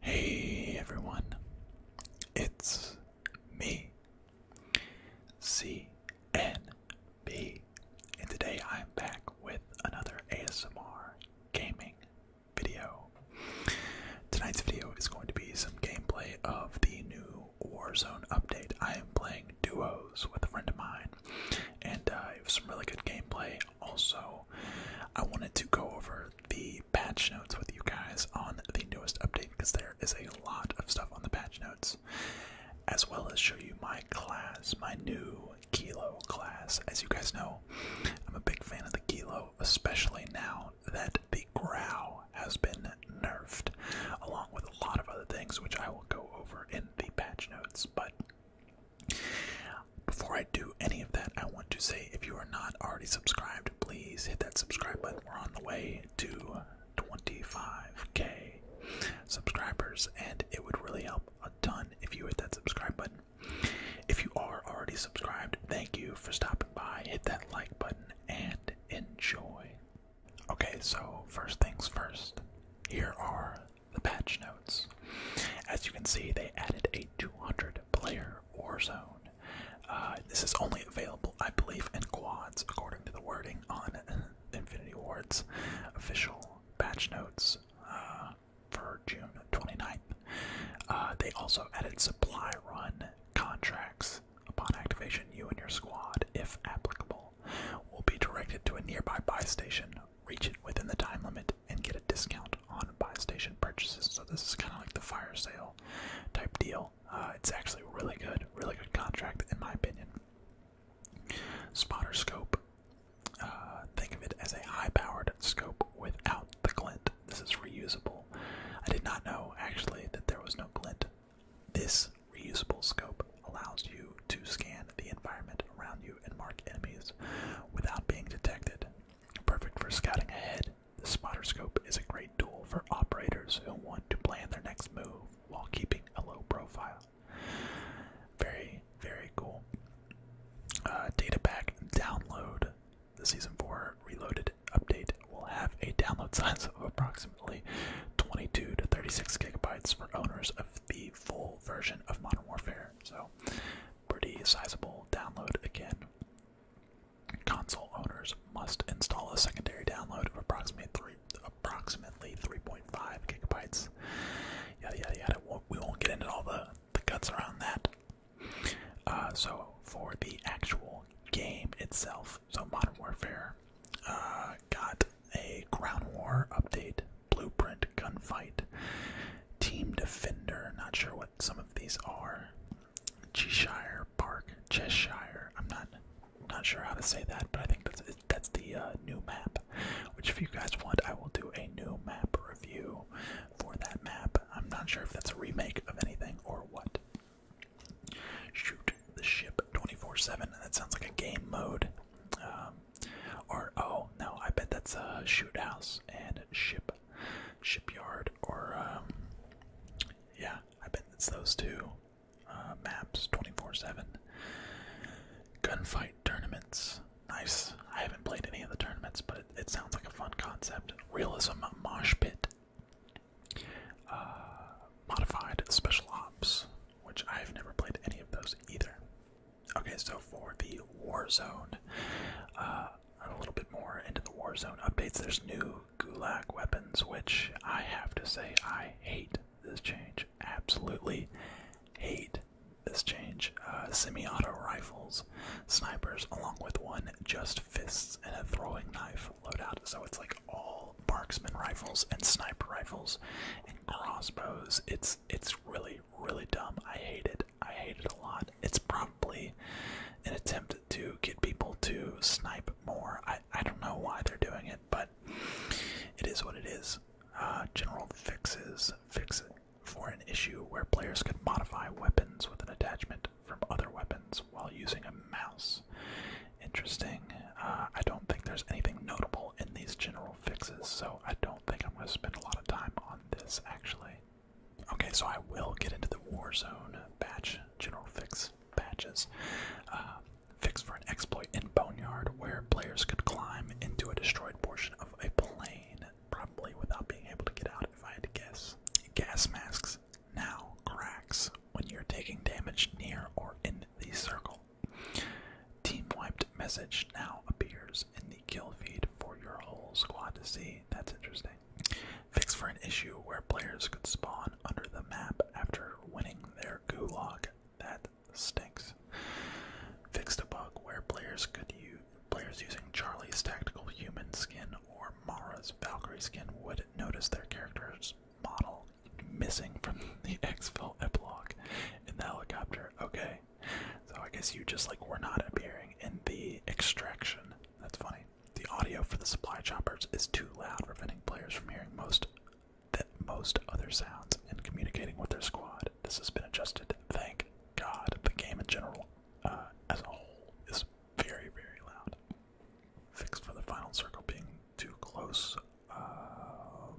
Hey everyone, it's me, CNB, and today I'm back with another ASMR gaming video. Tonight's video is going to be some gameplay of the new Warzone update. I am playing duos with a friend of mine, and uh, I have some really good gameplay. Also, I wanted to go over the patch notes with you guys on the newest update because there is a lot of stuff on the patch notes, as well as show you my class, my new Kilo class. As you guys know, I'm a big fan of the Kilo, especially now that the Grow has been nerfed, along with a lot of other things which I will go over in the patch notes. But before I do any of that, I want to say if you are not already subscribed, please hit that subscribe button. We're on the way to 25k subscribers, and it would really help a ton if you hit that subscribe button. If you are already subscribed, thank you for stopping by. Hit that like button and enjoy. Okay, so first things first, here are the patch notes. As you can see, they added a 200 player Warzone. Uh, this is only available, I believe, in quads, according to the wording on Infinity Ward's official patch notes uh, for June 29th. Uh, they also added supply run contracts. Upon activation, you and your squad, if applicable, will be directed to a nearby buy station reach it within the time limit and get a discount on buy station purchases. So this is kind of like the fire sale type deal. Uh, it's actually really good, really good contract in my opinion. Spotter scope. Uh, think of it as a high-powered scope without the glint. This is reusable. I did not know actually that there was no glint. This reusable scope allows you to scan the environment around you and mark enemies without being detected. Perfect for scouting ahead, the spotter scope is a great tool for operators who want to plan their next move while keeping a low profile. Very, very cool. Uh, data pack download. The Season 4 Reloaded update will have a download size of approximately 22 to 36 gigabytes for owners of the full version of Modern Warfare. So, pretty sizable download again. Console owners must install a secondary download of approximately three, approximately 3.5 gigabytes. Yada yada yada. We won't get into all the the guts around that. Uh, so for the actual game itself, so Modern Warfare uh, got a Ground War update Blueprint Gunfight, Team Defender, not sure what some of these are. Cheshire Park, Cheshire. I'm not not sure how to say that, but I think that's that's the uh, new map. Which, if you guys want, I will do a new map review for that map. I'm not sure if that's a remake of anything or what. Shoot the ship 24/7. That sounds like a game mode. Um, or oh no, I bet that's a shoot house and ship, shipyard, or um, yeah, I bet it's those two uh, maps, twenty four seven. Gunfight tournaments, nice. I haven't played any of the tournaments, but it, sounds like a fun concept. Realism mosh pit. Uh, modified special ops, which I've never played any of those either. Okay, so for the Warzone, uh, a little bit more into the Warzone updates, there's new Gulag weapons, which I have to say I hate this change. Absolutely hate this change. Uh, Semi auto rifles, snipers, along with one just fists and a throwing knife loadout. So it's like all marksman rifles and sniper rifles and crossbows. It's it's really, really dumb. I hate it. I hate it a lot. It's probably an attempt to get people to snipe more. I, I don't know why they're doing it, but it is what it is. Uh, general fixes fix for an issue where players could modify weapons with an attachment from other weapons while using a mouse. Interesting. Uh, I don't think there's anything notable in these general fixes, so I don't think I'm going to spend a lot of time on this actually. Okay, so I will get into the war zone patch, general fix patches. Uh, fix for an exploit in Boneyard where players could climb into a destroyed portion of a plane, probably without being able to get out if I had to guess. Gas masks now cracks when you're taking damage near or in the circle. Team wiped message now appears numbers in the kill feed for your whole squad to see. That's interesting. Fixed for an issue where players could spawn under the map after winning their gulag. That stinks. Fixed a bug where players could use players using Charlie's tactical human skin or Mara's Valkyrie skin would notice their character's model missing from the Xville epilogue in the helicopter. Okay, so I guess you just like were not appearing in the extraction. That's funny. The audio for the supply choppers is too loud, preventing players from hearing most the most other sounds and communicating with their squad. This has been adjusted. Thank God. The game in general, uh, as a whole, is very, very loud. Fixed for the final circle being too close. Um,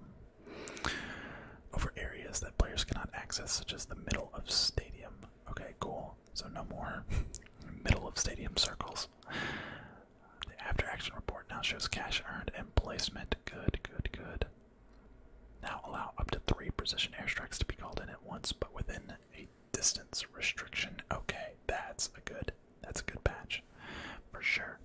over areas that players cannot access, such as the middle of stadium. Okay, cool. So no more middle of stadium circles. The after action report now shows cash earned and placement. Good, good, good. Now allow up to three precision airstrikes to be called in at once, but within a distance restriction. Okay, that's a good that's a good patch. For sure.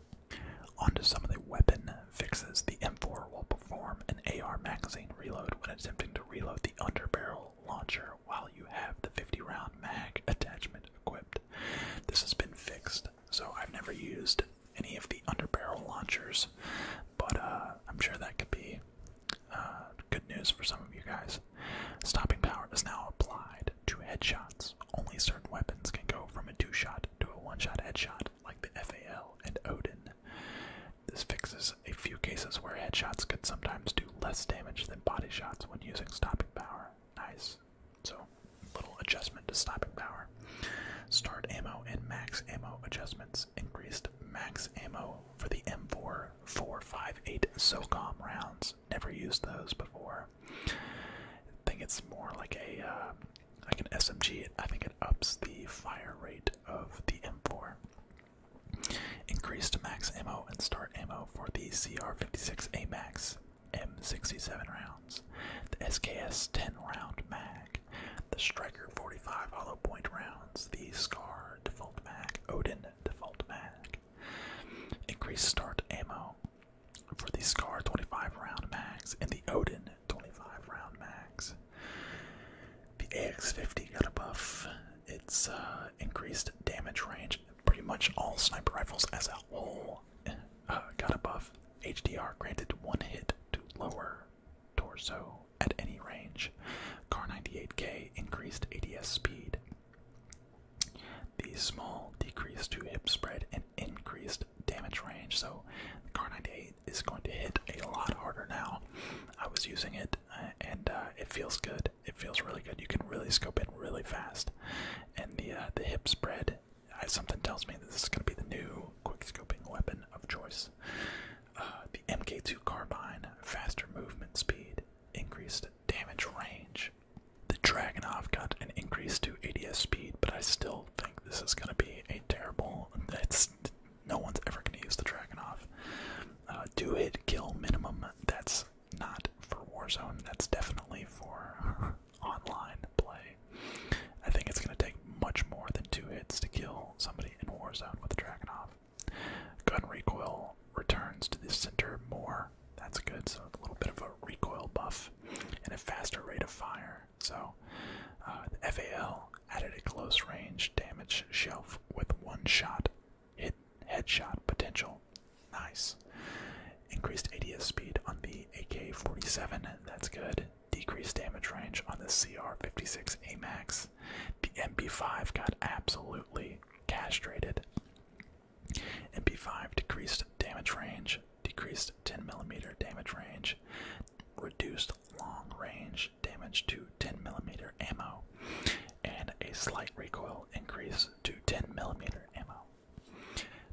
On to some of the weapon fixes. The M4 will perform an AR magazine reload when attempting to reload the underbarrel launcher while you have the 50 round mag attachment equipped. This has been fixed, so I've never used any of the underbarrel launchers, but uh, I'm sure that could be uh, good news for some of you guys. Stopping power is now applied to headshots. Only certain weapons can go from a two shot to a one shot headshot like the FAL and Odin. This fixes a few cases where headshots could sometimes do less damage than body shots when using stopping power. Nice. So, little adjustment to stopping power. Start ammo and max ammo adjustments. Increased max ammo for the M4 458 SOCOM rounds. Never used those before. I think it's more like a uh, I can SMG it. I think it ups the fire rate of the M4. Increased max ammo and start ammo for the CR56A Max M67 rounds, the SKS 10 round mag, the Striker 45 hollow point rounds, the SCAR default mag, Odin default mag. Increase start ammo for the SCAR 25 round mags and the Odin 25 round max. The AX50 got a buff. It's uh, increased damage range. Pretty much all sniper rifles as a whole uh, got a buff. HDR granted one hit to lower torso at any range. Car 98K increased ADS speed. The small decreased to hip spread and increased damage range, so the Car 98 is going to hit a lot harder now. I was using it, uh, and uh, it feels good. It feels really good. You can really scope it really fast, and the uh, the hip spread. I, something tells me that this is going to be the new quick scoping weapon of choice. the MK2 carbine, faster movement speed, increased damage range. The Dragonov got an increase to ADS speed, but I still think this is going to be a terrible no one's ever gonna use the Dragonoff. Uh, do hit kill minimum. That's not for Warzone. That's definitely for online play. I think it's gonna take much more than two hits to kill somebody in Warzone with the Dragonoff. Gun recoil returns to the center more. That's good. So a little bit of a recoil buff and a faster rate of fire. So uh, the FAL added a close range damage shelf with one shot hit headshot potential. Nice. Increased ADS speed on the AK-47. That's good. Decreased damage range on the CR-56 AMAX. The MP5 got absolutely castrated. MP5 decreased damage range, decreased 10 millimeter damage range, reduced long range damage to 10 millimeter ammo, and a slight recoil increase to 10 millimeter ammo.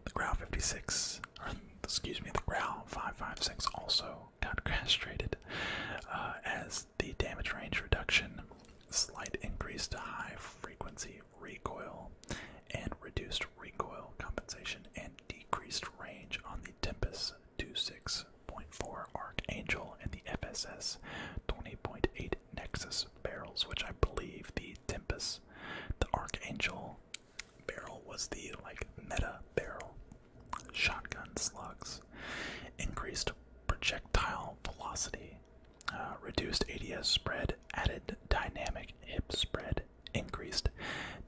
The Growl 56, or excuse me, the Growl 556 also got castrated uh, as the damage range reduction, slight increase to high frequency recoil, and reduced recoil compensation and decreased range on the Tempest 26.4 Archangel and the FSS 20.8 Nexus barrels, which I believe the Tempest, the Archangel barrel was the like meta barrel. Shotgun slugs, increased projectile velocity, uh, reduced ADS spread, added dynamic hip spread, increased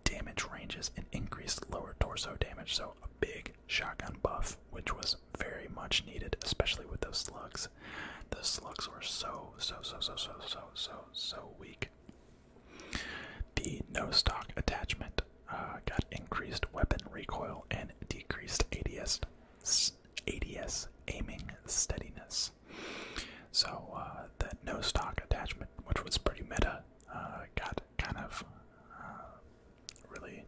damage ranges and increased lower torso damage. So a big shotgun buff, which was very much needed, especially with those slugs. Those slugs were so, so, so, so, so, so, so, so weak. The no stock attachment uh, got increased weapon recoil and decreased ADS, ADS aiming steadiness. So uh, that no stock attachment, which was pretty meta, uh, got kind of uh, really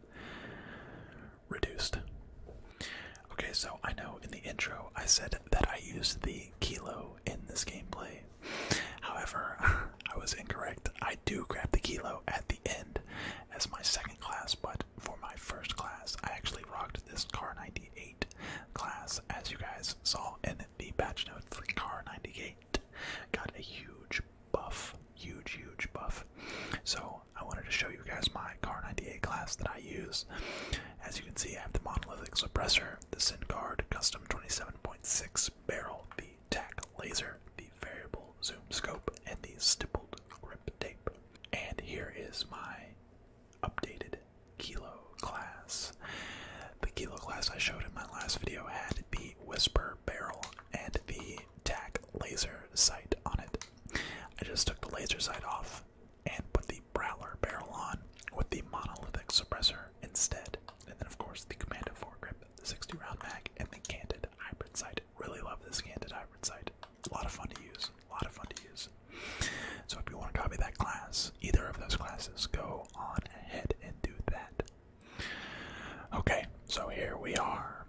reduced. Okay, so I know in the intro I said that I used the kilo in this gameplay. However, I was incorrect. I do grab the kilo at the end as my second class, but for my first class, I actually rocked this Car 98 class, as you guys saw in the patch episode Car 98 got a huge buff, huge, huge buff. So I wanted to show you guys my Car 98 class that I use. As you can see, I have the monolithic suppressor, the SynGuard custom 27.6 barrel, the TAC laser, the variable zoom scope, and the stippled grip tape. And here is my updated Kilo class. The Kilo class I showed in my last video had the Whisper barrel and the TAC laser sight on it. I just took the laser sight off and put the Prowler barrel on with the monolithic suppressor instead. And then, of course, the Commando foregrip, the 60 round mag, and the Candid hybrid sight. Really love this Candid hybrid sight. A lot of fun to use. A lot of fun to use. So if you want to copy that class, either of those classes, go on ahead and do that. Okay, so here we are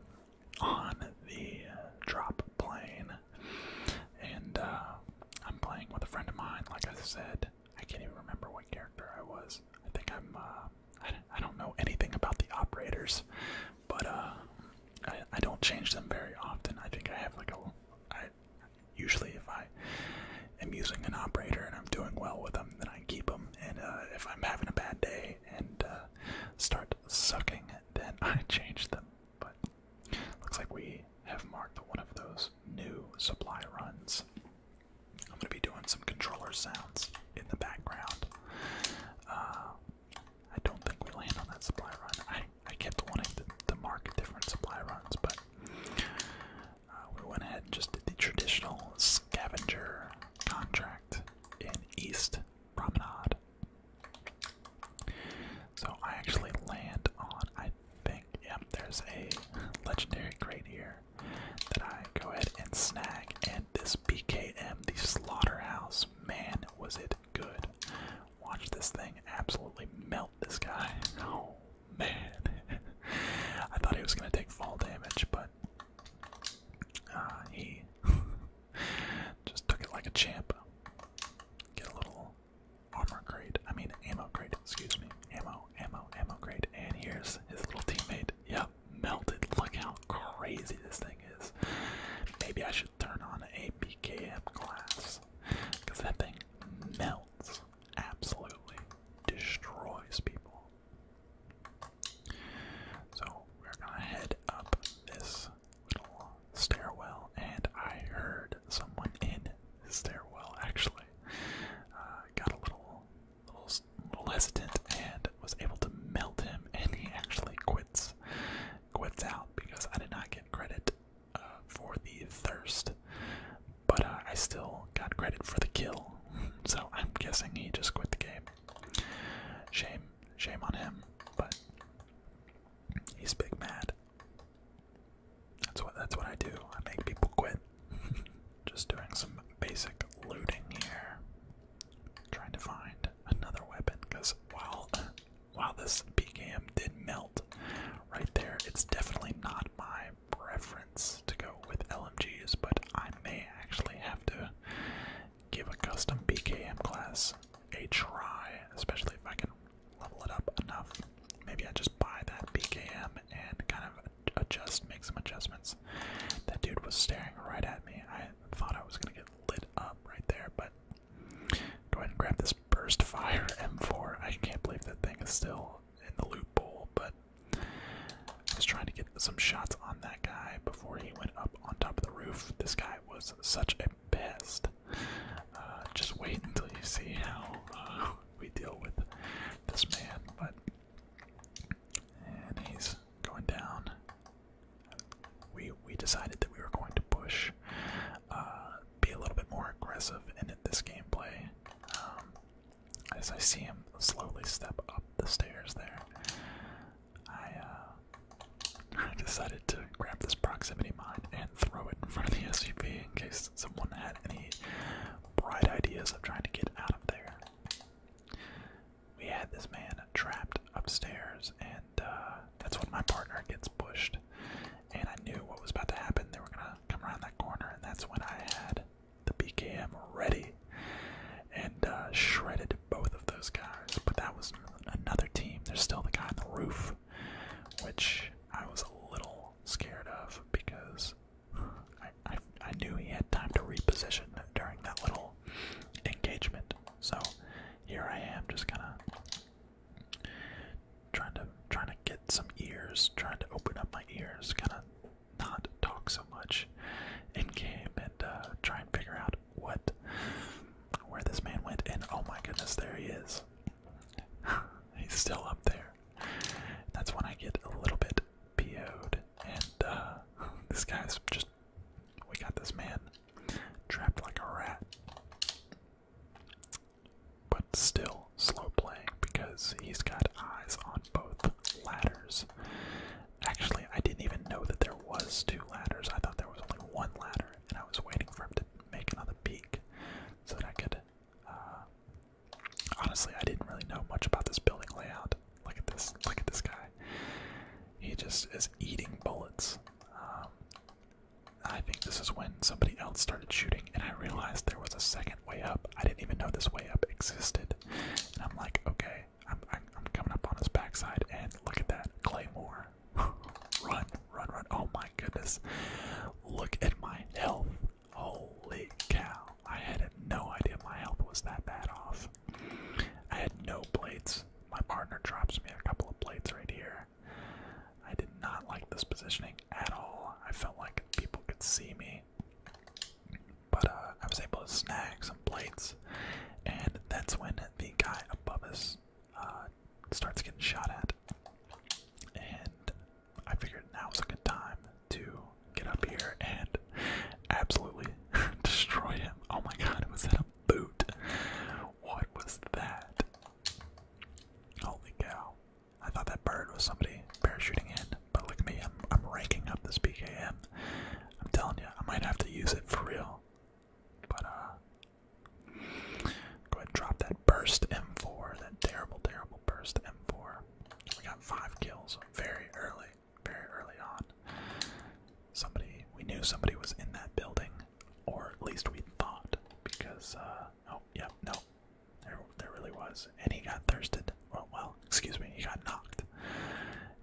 on the drop plane, and uh, I'm playing with a friend of mine. Like I said, I can't even remember what character I was. I think I'm. Uh, I, don't know anything about the operators, but uh, I, don't change them very often. I think I have like a usually if I am using an operator and I'm doing well with them, then I keep them. And uh, if I'm having a bad day and uh, start sucking, then I change them. But looks like we have marked one of those new supply runs. I'm gonna be doing some controller sounds in the background. Uh, I don't think we land on that supply run. I I kept wanting to mark different supply runs, but uh, we went ahead and just did the traditional scavenger contract in East Promenade. So I actually land on, I think, yep, there's a legendary crate here that I go ahead and snag. And this BKM, the slaughterhouse, man, was it good. Watch this thing absolutely melt this guy. Oh, Man, I thought he was gonna take fall damage, but uh, he just took it like a champ. Get a little armor crate, I mean ammo crate, excuse me. Ammo, ammo, ammo crate, and here's his little teammate. Yep, melted. Look how crazy this thing is. Maybe I should turn on a BKM class, because that thing melts absolutely destroys people. So we're gonna head up this little stairwell, and I heard someone in the stairwell actually uh, got a little, little hesitant and was able to melt him, and he actually quits, quits out because I did not get credit uh, for the thirst, but uh, I still got credit for the kill. So I'm guessing he just quit the game. Shame, shame on him. But he's big mad. That's what that's what I do. I make people quit. just doing some basic looting here. Trying to find another weapon because while while this PKM did melt right there, it's definitely not mine preference to go with LMGs, but I may actually have to give a custom BKM class a try, especially if I can level it up enough. Maybe I just buy that BKM and kind of adjust, make some adjustments. That dude was staring right at me. I thought I was gonna get lit up right there, but go ahead and grab this burst fire M4. I can't believe that thing is still in the loop bowl, but was trying to get some shots on that guy before he went up on top of the roof. This guy was such a pest. Uh, just wait until you see how uh, we deal with this man. But and he's going down. We we decided that we were going to push uh, be a little bit more aggressive in this gameplay. Um, as I see him slowly step up the stairs there, I, uh, decided to grab this proximity mine and throw it in front of the SCP in case someone had any bright ideas of trying to get out of there. We had this man trapped upstairs, and uh, that's when my partner gets pushed and I knew what was about to happen. They were gonna come around that corner, and that's when I had the BKM ready and uh, shredded both of those guys. But that was another team. There's still the guy on the roof, which I was a little scared of because I I knew he had time to reposition during that little engagement. So here I am, just kind of Trying to trying to get some ears, trying to open up my ears, kind of not talk so much and came and uh, try and figure out what where this man went. And oh my goodness, there he is. He's still up there. That's when I get a little bit po and uh, this guy's just. We got this man trapped like a rat. But still slow playing because he's got eyes on both ladders. Actually, I didn't even know that there was two ladders. I thought there was only one ladder, and I was waiting for him to make another peek so that I could. Uh, honestly, I didn't really know much about this building layout. Look at this! Look at this guy. He just is eating bullets. Um, I think this is when somebody else started shooting, and I realized there was a second way up. I didn't even know this way up existed. And I'm like, okay, I'm, coming up on his backside, and look at that claymore. run, run, run. Oh my goodness. Look at my health. Holy cow. I had no idea my health was that bad off. I had no blades. My partner drops me a couple of blades right here. I did not like this positioning at all. I felt like people could see me. But uh, I was able to snag some plates, and that's when the guy above us uh, starts getting shot at. And I figured now was a good time to get up here and absolutely destroy him. Oh my god, it was that a boot? What was that? Holy cow. I thought that bird was somebody parachuting in, but look at me, I'm, i ranking up this PKM. I'm telling you, I might have to use it for real. But, uh, go ahead drop that burst M4, that terrible, terrible burst M4. We got five kills very early, very early on. Somebody, we knew somebody was in that building, or at least we thought, because, uh, oh, yeah, no, there, there really was, and he got thirsted. Well, well, excuse me, he got knocked.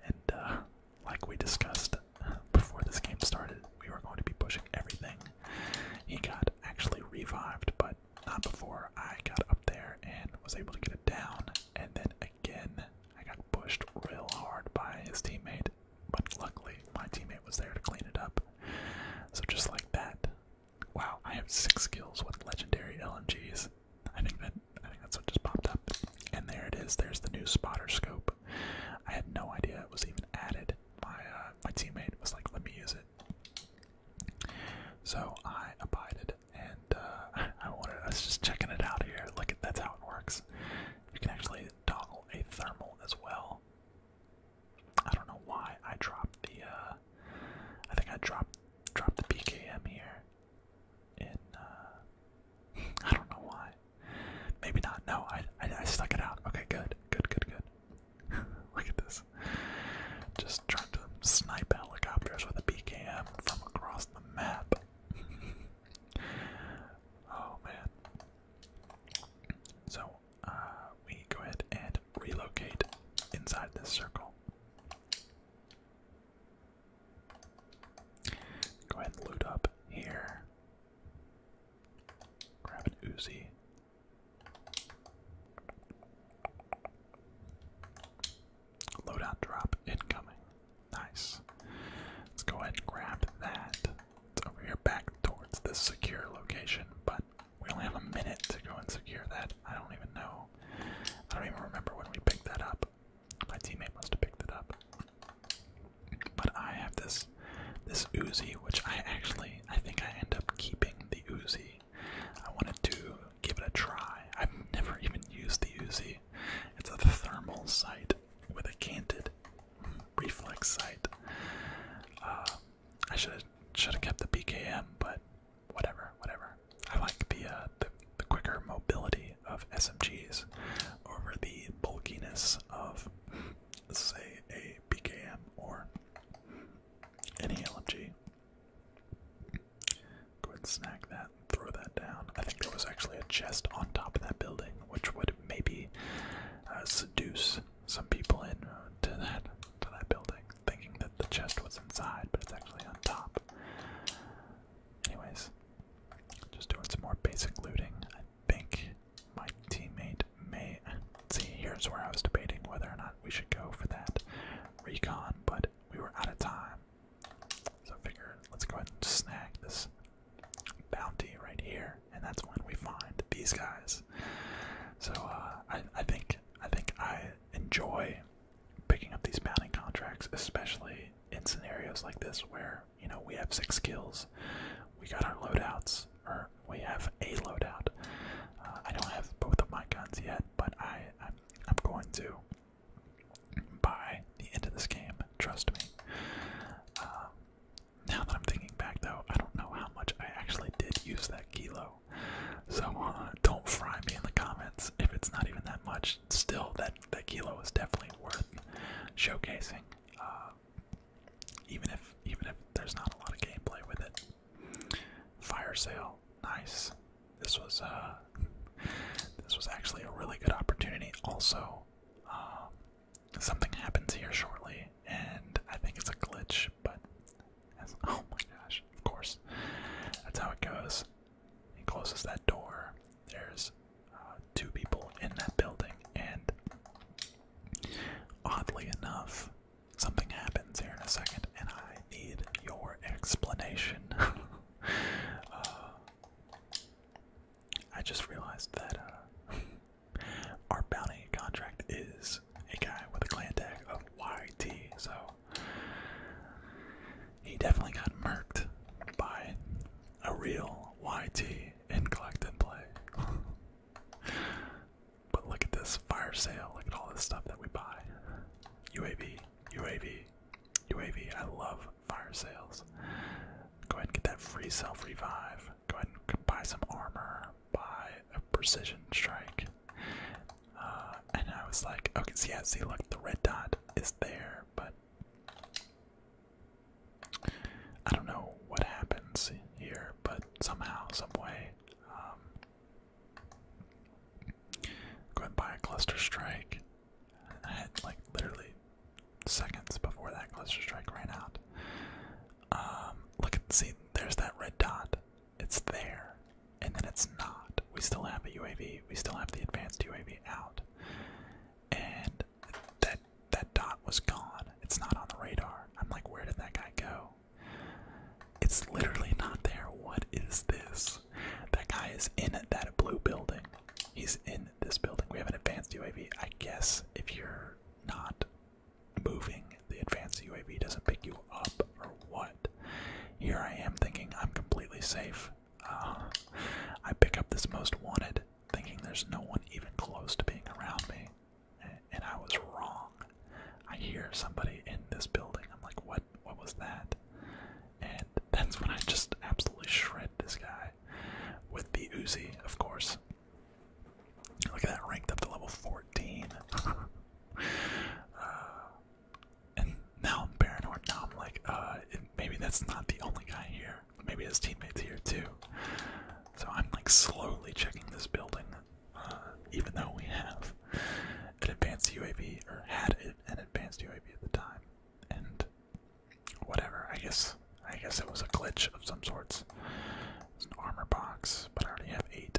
And uh, like we discussed uh, before this game started, we were going to be pushing everything. He got actually revived, but not before I got up there and was able to get it down. And then again, I got pushed real hard by his teammate, but luckily my teammate was there to clean it up. So just like that, Wow, I have six skills with legendary LMGs. I think that I think that's what just popped up. And there it is. There's the new spotter scope. I had no idea it was even added. My uh, my teammate was like, "Let me use it." So I abided, and uh, I was just checking it out here. Look, at that's how it works. You can actually toggle a thermal as well. I don't know why I dropped the. Uh, I think I dropped dropped the PKM here. In uh, I don't know why. Maybe not. No, I, I I stuck it out. Okay, good, good, good, good. Look at this. Just trying to snipe helicopters with a PKM from across the map. oh man. So uh, we go ahead and relocate inside this circle. Go ahead and loot up here. Grab an Uzi. Loadout drop incoming. Nice. Let's go ahead and grab that. over here back towards this secure location, but we only have a minute to go and secure that. I don't even know. I don't even remember when we picked that up. My teammate must have picked it up. But I have this this Uzi, which I actually I think I end up keeping the Uzi. I wanted to give it a try. I've never even used the Uzi. It's a thermal sight with a canted reflex sight. Uh, I should have kept the BKM, but whatever, whatever. I like the uh, quicker mobility of SMGs over the bulkiness of say a BKM or any LMG. Go ahead and snag that and throw that down. I think there was actually a chest on top of that building, which would maybe uh, seduce some people in uh, to that to that building, thinking that the chest was inside, but it's actually on top. Anyways, just doing some more basic looting. I think my teammate may see. Here's where I was debating whether or not we should go for that recon, but we were out of time, so I figured let's go ahead and snag this bounty right here and that's when we find these guys. So uh, I, think I think I enjoy picking up these bounty contracts, especially in scenarios like this where you know we have six kills, we got our loadouts, or we have a loadout. Uh, I don't have both of my guns yet, but I I'm, going to by the end of this game. Trust me. Um, now that I'm thinking back, though, I don't know how much I actually did use that kilo. So uh, don't fry me in the comments if it's not even that much. Still, that that kilo is definitely worth showcasing, uh, even if even if there's not a lot of gameplay with it. Fire sale, nice. This was uh, this was actually a really good opportunity. Also, um, something happens here shortly, and I think it's a glitch, but oh my gosh, of course. That's how it goes. He closes that door. There's uh, two people in that building, and oddly enough, something happens here in a second, and I need your explanation. Uh, I just realized that uh, Our bounty contract is a guy with a clan tag of YT, so he definitely got murked by a real YT in collect and play. but look at this fire sale, look at all this stuff that we buy. UAV, UAV, UAV, I love fire sales. Go ahead and get that free self revive. Go ahead and buy some armor, buy a precision strike. Uh, and I was like, okay, see, yeah, see, look, the red dot is there, but I don't know what happens here, but somehow, some way, um, go and buy a cluster strike. and I had like literally seconds before that cluster strike ran out. Um, look at see, there's that red dot. It's there, and then it's not. We still have a UAV. We still have the advanced UAV out, and that that dot was gone. It's not on the radar. I'm like, where did that guy go? It's literally not there. What is this? That guy is in that blue building. He's in this building. We have an advanced UAV. I guess if you're not moving, the advanced UAV doesn't pick you up, or what? Here I am thinking I'm completely safe. Uh, I pick up this most wanted, thinking there's no one even close to being around me. And I was wrong. I hear somebody in this building. I'm like, what? What was that? And that's when I just absolutely shred this guy with the Uzi, of course. Look at that, ranked up to level 14. Uh, and now I'm paranoid. Now I'm like, uh, maybe that's not the only guy here. Maybe his teammates here too. So I'm like slowly checking this building, uh, even though we have an advanced UAV or had an advanced UAV at the time. And whatever, I guess I guess it was a glitch of some sorts. It's an armor box, but I already have eight,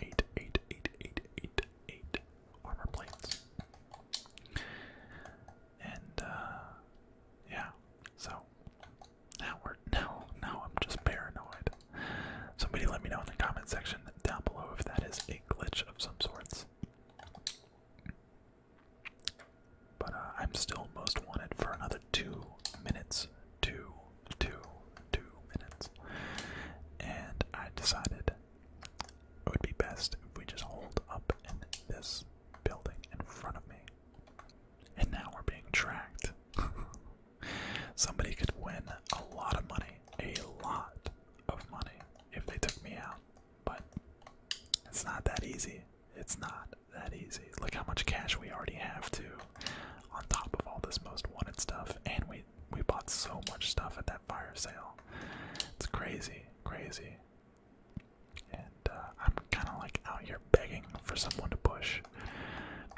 eight, eight, eight, eight, eight, eight armor plates. And uh, yeah, so now we're now now I'm just paranoid. Somebody let me know in the comment section down below if that is a glitch of some sorts. But uh, I'm still most wanted for another two minutes. Two, two, two minutes. And I decided it would be best if we just hold up in this building in front of me. And now we're being tracked. Somebody could win a lot of money, a lot of money, if they took me out. But it's not that easy. It's not that easy. Look how much cash we already have too. On top of all this most wanted stuff, and we we bought so much stuff at that fire sale. It's crazy, crazy. And uh, I'm kind of like out here begging for someone to push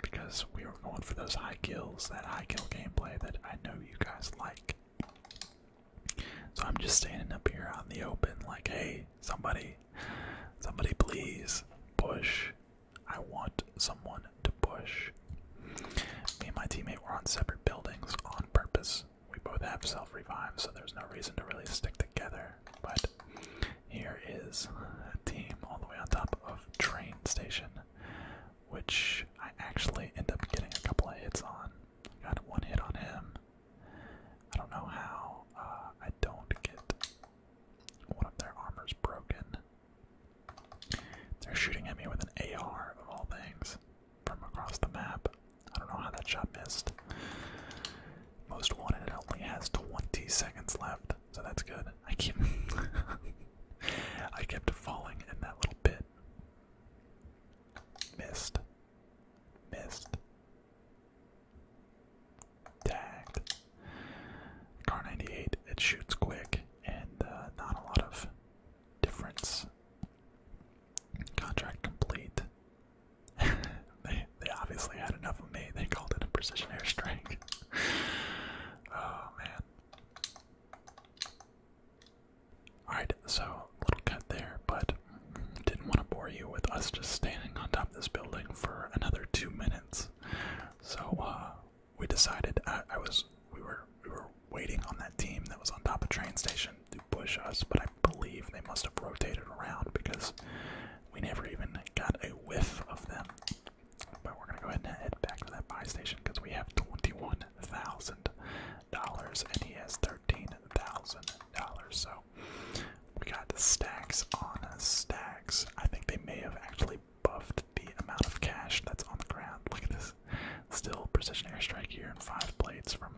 because we were going for those high kills, that high kill gameplay that I know you guys like. So I'm just standing up here out in the open, like, hey, somebody, somebody, please push. I want someone to push. Me and my teammate were on separate buildings on purpose. We both have self revive, so there's no reason to really stick together. But here is a team all the way on top of train station, which I actually end up getting a couple of hits on. Got one hit on him. I don't know how uh, I don't get one of their armors broken. They're shooting at me with an AR of all things from across the map. I don't know how that shot missed. Most wanted it only has 20 seconds left, so that's good. I keep I kept falling in that little bit. Missed. Missed. Tagged. Car 98, it shoots quick and uh, not a lot of difference. Contract complete. they, they obviously had enough of me. They called it a precision airstrike. oh man. Alright, so little cut there, but didn't want to bore you with us just standing on top of this building for another two minutes. So uh, we decided I, uh, I was we were we were waiting on that team that was on top of train station to push us, but I believe they must have rotated around because we never even got a whiff of them. But we're gonna go ahead and head back to that buy station because we have twenty-one thousand dollars and he has thirteen thousand dollars. So we got stacks on stacks. I think they may have actually buffed the amount of cash that's on the ground. Look at this. Still precision airstrike here and five blades from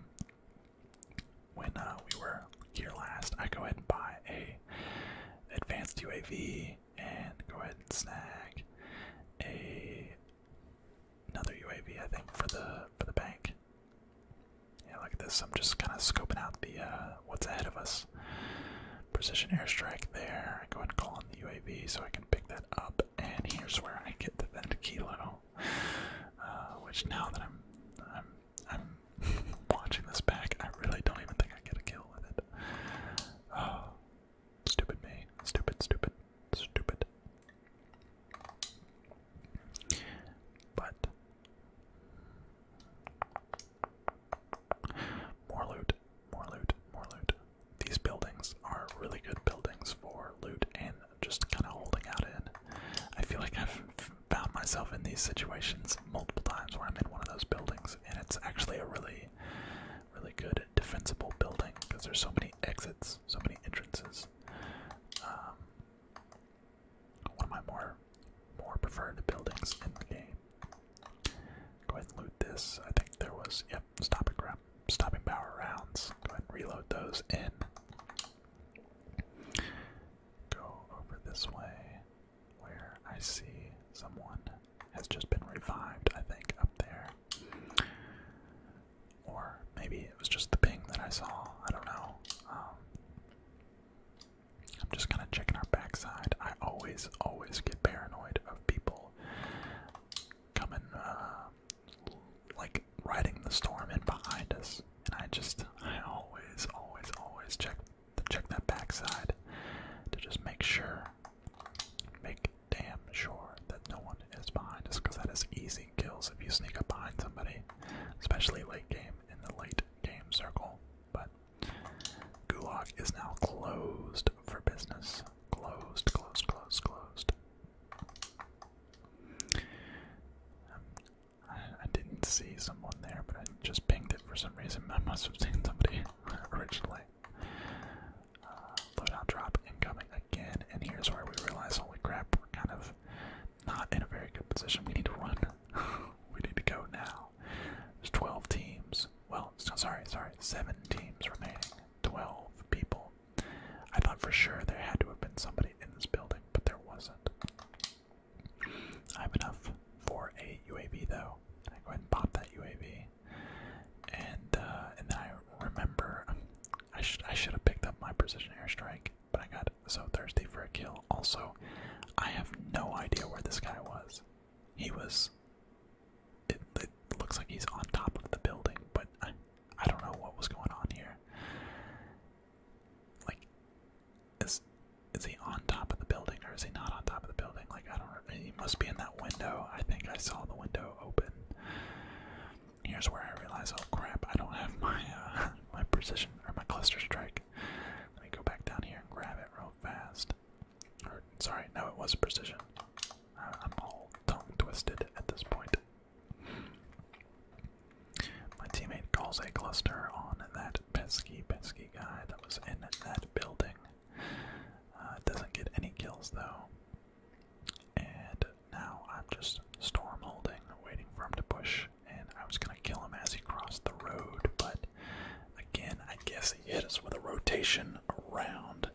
when uh, we were here last. I go ahead and buy a advanced UAV and go ahead and snag a another UAV I think for the for the bank. Yeah, look at this. I'm just kind of scoping out the uh, what's ahead of us. Precision airstrike there. Go ahead and call in the UAV so I can pick that up. And here's where I get to that kilo, uh, which now that I'm I'm I'm watching this back, I really don't even think I get a kill with it. Oh, stupid me, stupid, stupid, stupid. But more loot, more loot, more loot. These buildings are really good buildings for loot and just kind of holding out in. I feel like I've found myself in these situations multiple times where I'm in one of those buildings, and it's actually a really, really good defensible building because there's so many exits, so many entrances. Um, one of my more more preferred buildings in the game. Go ahead and loot this. I think there was yep, Stop it, grab stopping power rounds. Go ahead and reload those in. Go over this way where I see someone has just been revived, I think, up there. Or maybe it was just the ping that I saw. I don't know. Um, I'm just kind of checking our backside. I always, always get paranoid of people coming, uh, like riding the storm in behind us, and I just, I always, always, always check, check that backside to just make sure, make damn sure that no one is behind us, because that is easy kills if you sneak up behind somebody, especially late game in the late game circle, but Gulag is now closed for business. Closed, closed, closed, closed. Um, I, didn't see someone there, but I just pinged it for some reason. I must have seen somebody originally. Uh, loadout drop incoming again, and here's where we realize holy crap, we're kind of not in a very good position. We need to run. we need to go now. There's 12 teams. Well, sorry, sorry, 7 teams remaining. 12 people. I thought for sure there had to have been somebody in this building, but there wasn't. I have enough for a UAV though. I go ahead and pop that UAV, and uh, and I remember I should I should have picked up my precision airstrike but I got so thirsty for a kill. Also, I have no idea where this guy was. He was. It, looks like he's on top of the building, but I, don't know what was going on here. Like, is is he on top of the building or is he not on top of the building? Like, I don't. He must be in that window. I think I saw the window open. Here's where I realize, oh crap, I don't have my uh, my precision or my cluster strike. Let me go back down here and grab it real fast. sorry, no, it was precision. I'm all tongue twisted at this point. My teammate calls a cluster on that pesky, pesky guy that was in that building. Uh, doesn't get any kills though. And now I'm just storm holding, waiting for him to push and I was gonna kill him as he crossed the road, but again, I guess he hit us with a rotation around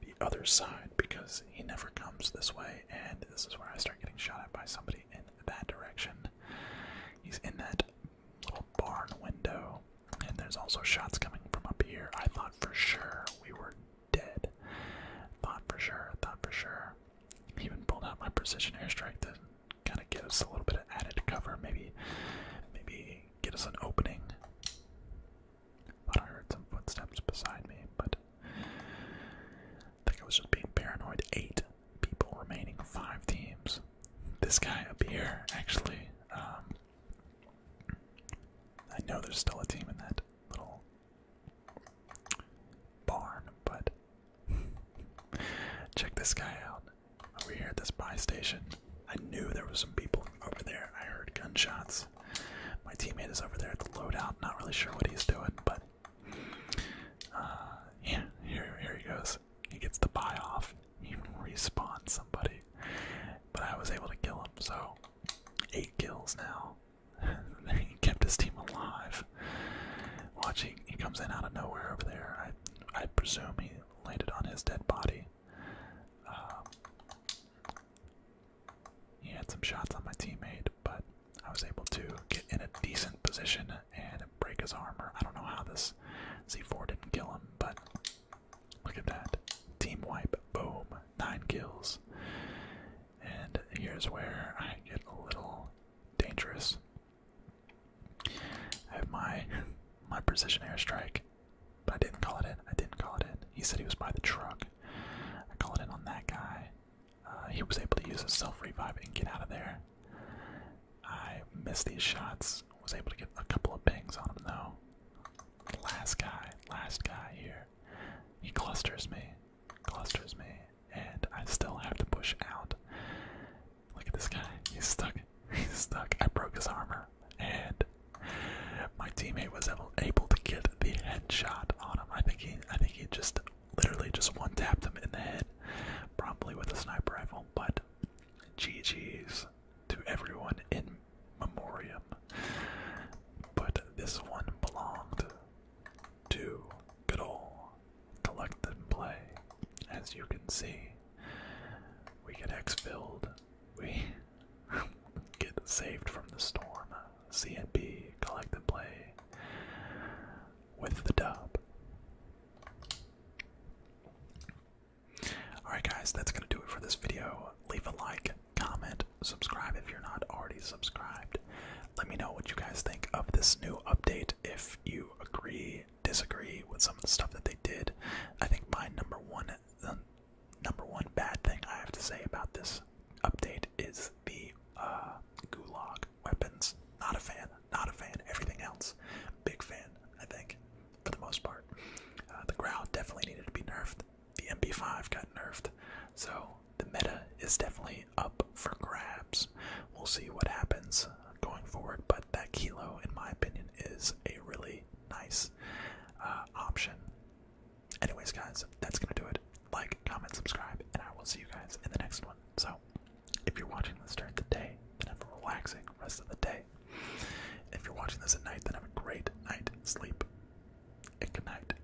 the other side because he never comes this way, and this is where I start getting shot at by somebody in that direction. He's in that little barn window, and there's also shots coming from up here. I thought for sure we were dead. Thought for sure, thought for sure. Even pulled out my precision airstrike to kind of get us a little bit of added cover. Maybe, maybe get us an opening. Thought I heard some footsteps beside me, but I think I was just being paranoid. Eight people remaining, five teams. This guy up here, actually. Um, I know there's still a team in that little barn, but check this guy out. Over here at this buy station, I knew there was some people over there. I heard gunshots. My teammate is over there at the loadout. Not really sure what he's doing, but uh, yeah, here, here he goes. He gets the buy off. He respawns somebody, but I was able to kill him. So eight kills now he kept his team alive. Watching, he comes in out of nowhere over there. I, I presume he landed on his dead body. Um, he had some shots on my teammate, but I was able to get in a decent position and break his armor. I don't know how this z 4 didn't kill him, but look at that. Team wipe, boom, nine kills. And here's where I get a little dangerous. I have my my precision airstrike, but I didn't call it in. I didn't call it in. He said he was by the truck. I called in on that guy. Uh, he was able to use his self revive and get out of there. I missed these shots. Was able to get a couple of bangs on him though. Last guy, last guy here. He clusters me, clusters me and I still have to push out. Look at this guy. He's stuck. He's stuck. I broke his armor. And my teammate was able, to get the headshot on him. I think he I think he just literally just one tapped him in the head. Probably with a sniper rifle, but GG's to everyone in memoriam. But this one belonged to good ol' collect and play. As you can see, we get X filled, we get saved from the storm. C and B, collect and play with the dub. Alright, guys, that's going to do it for this video. Leave a like, comment, subscribe if you're not already subscribed. Let me know what you guys think of this new update. If you agree, disagree with some of the stuff that they did, I think my number one, number one bad thing I have to say about this update is the uh, gulag weapons. Not a fan. Not a fan. Everything else, big fan. I think, for the most part, uh, the growl definitely needed to be nerfed. The MB 5 got nerfed, so the meta is definitely up for grabs. We'll see what happens going forward, but that Kilo, in my opinion, is a really nice uh, option. Anyways, guys, that's gonna do it. Like, comment, subscribe, and I will see you guys in the next one. So, if you're watching this during the day, then have a relaxing rest of the day. If you're watching this at night, then have a great night sleep. And good night.